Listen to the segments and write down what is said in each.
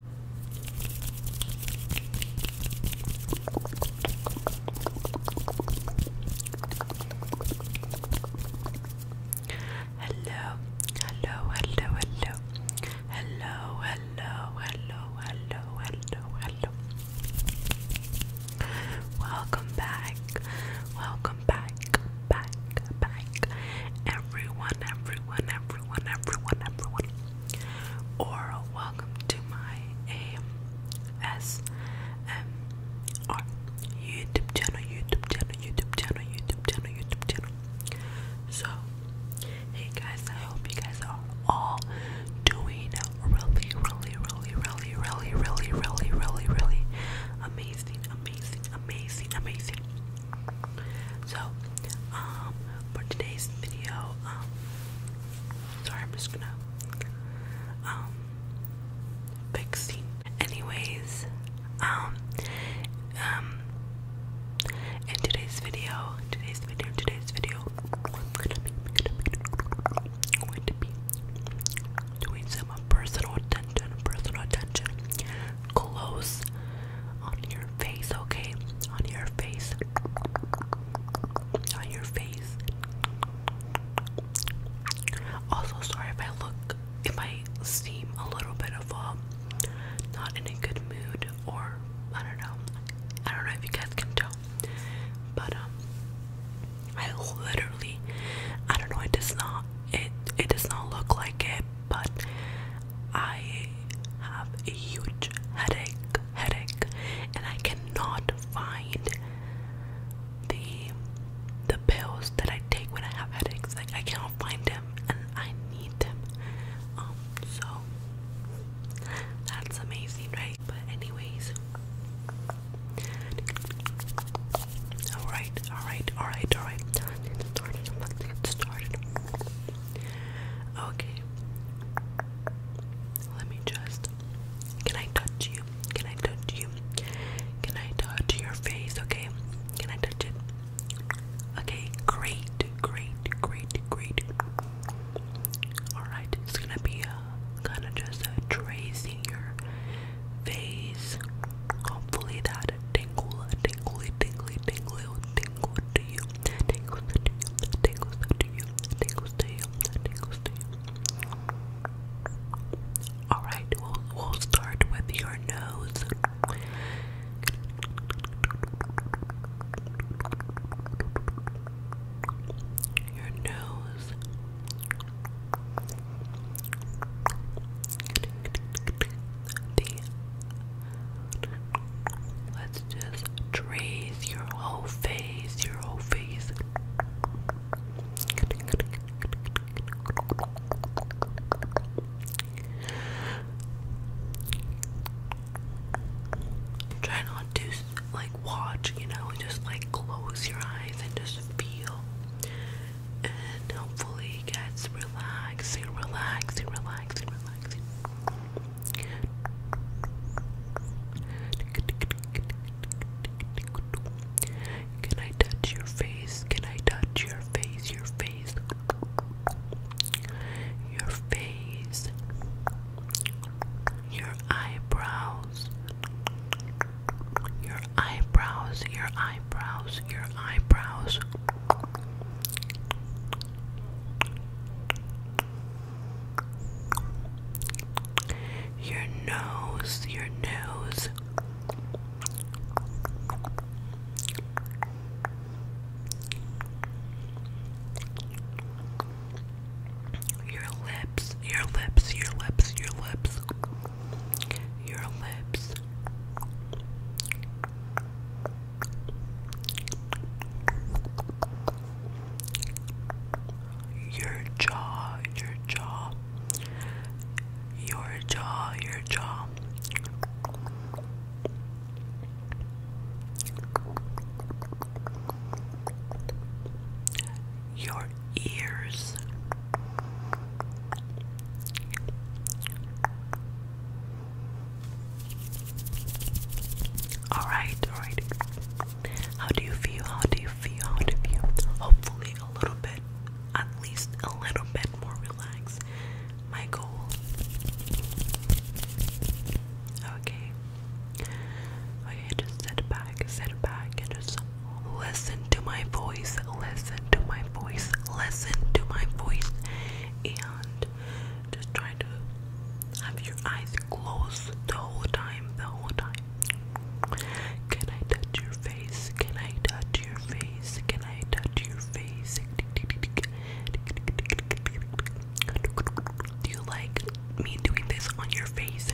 Hello, hello, hello, hello, hello, hello, hello, hello, Welcome back, welcome back, back, back, everyone, everyone, everyone, everyone, everyone or welcome to my ASMR YouTube channel, YouTube channel, YouTube channel, YouTube channel, YouTube channel. So, hey guys, I hope you guys are all doing really, really, really, really, really, really, really, really, really amazing, amazing, amazing, amazing. So, um, for today's video, um, sorry, I'm just gonna, um, fixing. Anyways, um, um, in today's video, today's video, today's video, I'm gonna be, I'm going to be doing some personal attention, personal attention, close on your face, okay? On your face. On your face. Also, sorry if I look, if I seem a little bit of um, not in a good mood, or I don't know. I don't know if you guys can tell, but um, I literally, I don't know. It does not, it it does not look like it, but I have a huge headache, headache, and I cannot find the the pills that I take when I have headaches. Like I cannot find them, and I need them. Um, so that's amazing, right? But anyways, all right, all right, all right, all right. Let's get started. Let's get started. Okay. Let me just. Can I touch you? Can I touch you? Can I touch your face? Okay. Can I touch it? Okay. Great. Great. Great. Great. Alright. It's gonna be uh, kind of just uh, tracing your face. Hopefully that tingle, uh, tingly, tingly, tingly, tingly, tingles to you, tingles to you, tingles to you, tingles to you, tingles to you. Alright, we'll, we'll start with your nose. Your nose let's just trace your whole face, your whole face. Try not to like watch, you know, just like close your eyes and just feel and hopefully it gets relaxed, relaxing, relaxing. Can I touch your face? Can I touch your face? Your face. Your face. Your eyebrows. Your eyebrows. Your eyebrows eyebrows, your eyebrows. Your nose, your nose. Your lips, your lips, your lips, your lips. Your lips. Your jaw, your jaw, your jaw, your jaw. Your ears, Alright, alright. How do you feel? How do you feel? How do you feel? Hopefully, a little bit, at least a little bit more relaxed. My goal. Okay. Okay, just sit back, sit back, and just listen to my voice listen to my voice, listen to my voice, and just try to have your eyes closed the whole time, the whole time. Can I touch your face? Can I touch your face? Can I touch your face? Do you like me doing this on your face?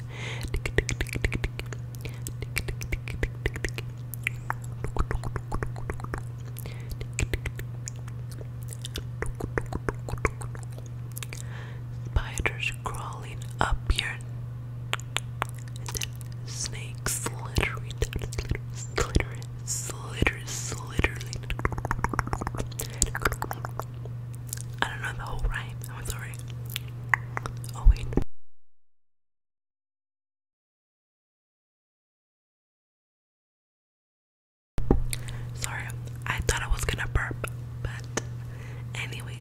Spiders crawling up your and snakes slithering, slithering, slithering, slithering. I don't know the whole rhyme. I'm sorry. Oh wait. Sorry, I thought I was gonna burp, but anyway.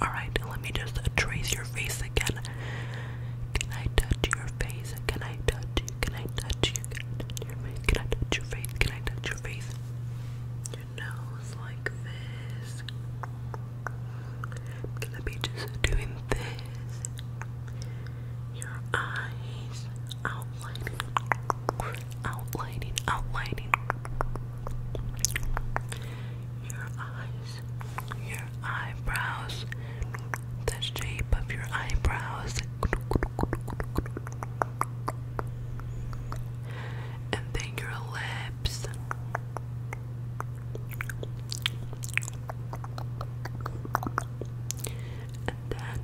Alright, let me just trace your face again can I touch your face? Can I touch Can I touch you? Can I touch your face? Can I touch your face? Can I touch your face? nose like this. I'm gonna be just doing this. Your eyes outlining, outlining, outlining. Your eyes your eyebrows, the shape of your eyebrows, and then your lips. And then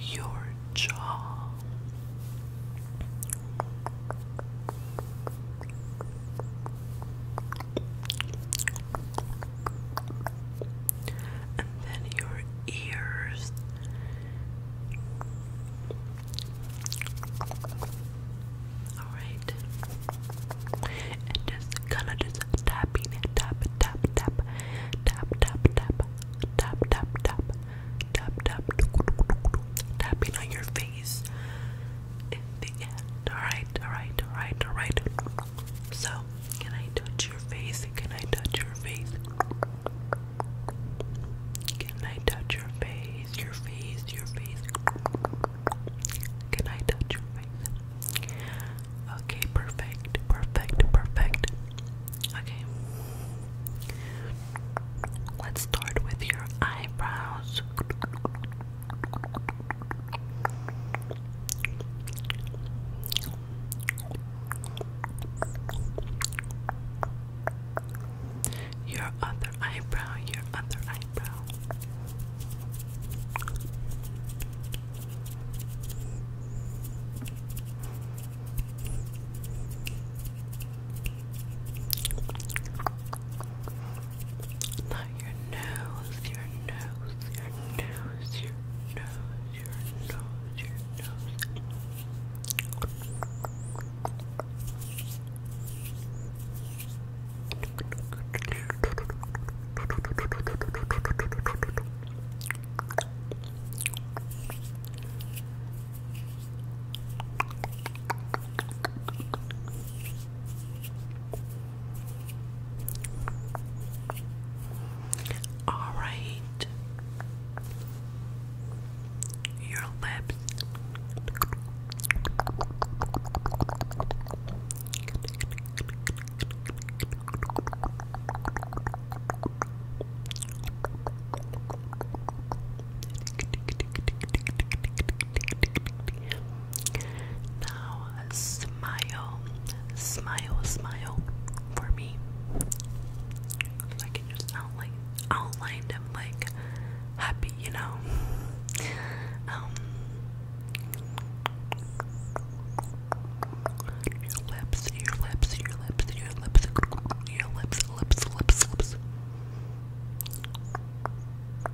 your jaw, and then your ears. All right, and just kind of just tapping it, tap, tap, tap, tap, tap, tap, tap, tap, tapping on your face. Alright, alright, alright, alright. So, can I touch your face? Can I touch your face? Can I touch your face? Your face, your face. Can I touch your face? Okay, perfect, perfect, perfect. Okay. Let's start with your eyebrows. Your other eyebrow, your other eyebrow. Not your nose, your nose, your nose, your nose, your nose, your nose. All right, your lips. Now, smile, smile, smile for me. So I can just outline, outline them like happy, you know. Um, your lips, your lips, your lips, your lips, your lips, lips, lips, lips.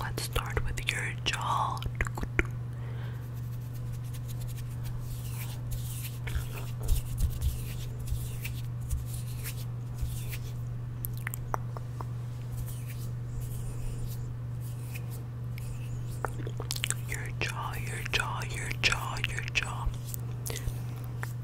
Let's start with your jaw. Your jaw, your jaw, your jaw,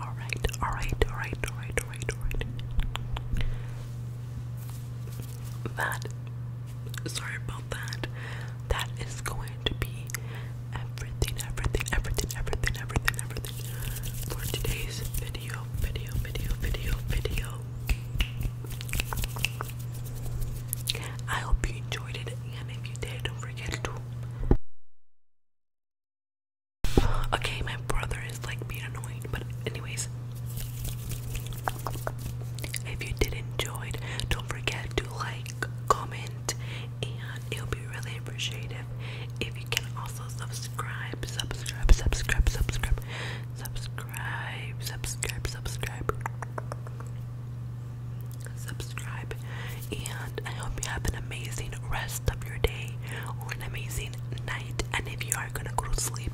All right, all right, all right, all right, all right, all right. That, sorry about that. That is going to be everything, everything, everything, everything, everything, everything for today's video, video, video, video, video. I hope you enjoyed it, and if you did, don't forget to. Okay, my brother is like being annoying, but anyways, if you did enjoy don't forget to like, comment, and it'll be really appreciated if you can also subscribe, subscribe, subscribe, subscribe, subscribe subscribe, subscribe, subscribe, subscribe, and I hope you have an amazing rest of your day or an amazing night. And if you are gonna go to sleep,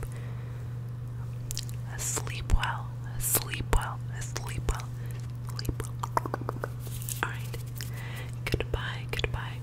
sleep well, sleep well, sleep well, sleep well. Alright, goodbye, goodbye.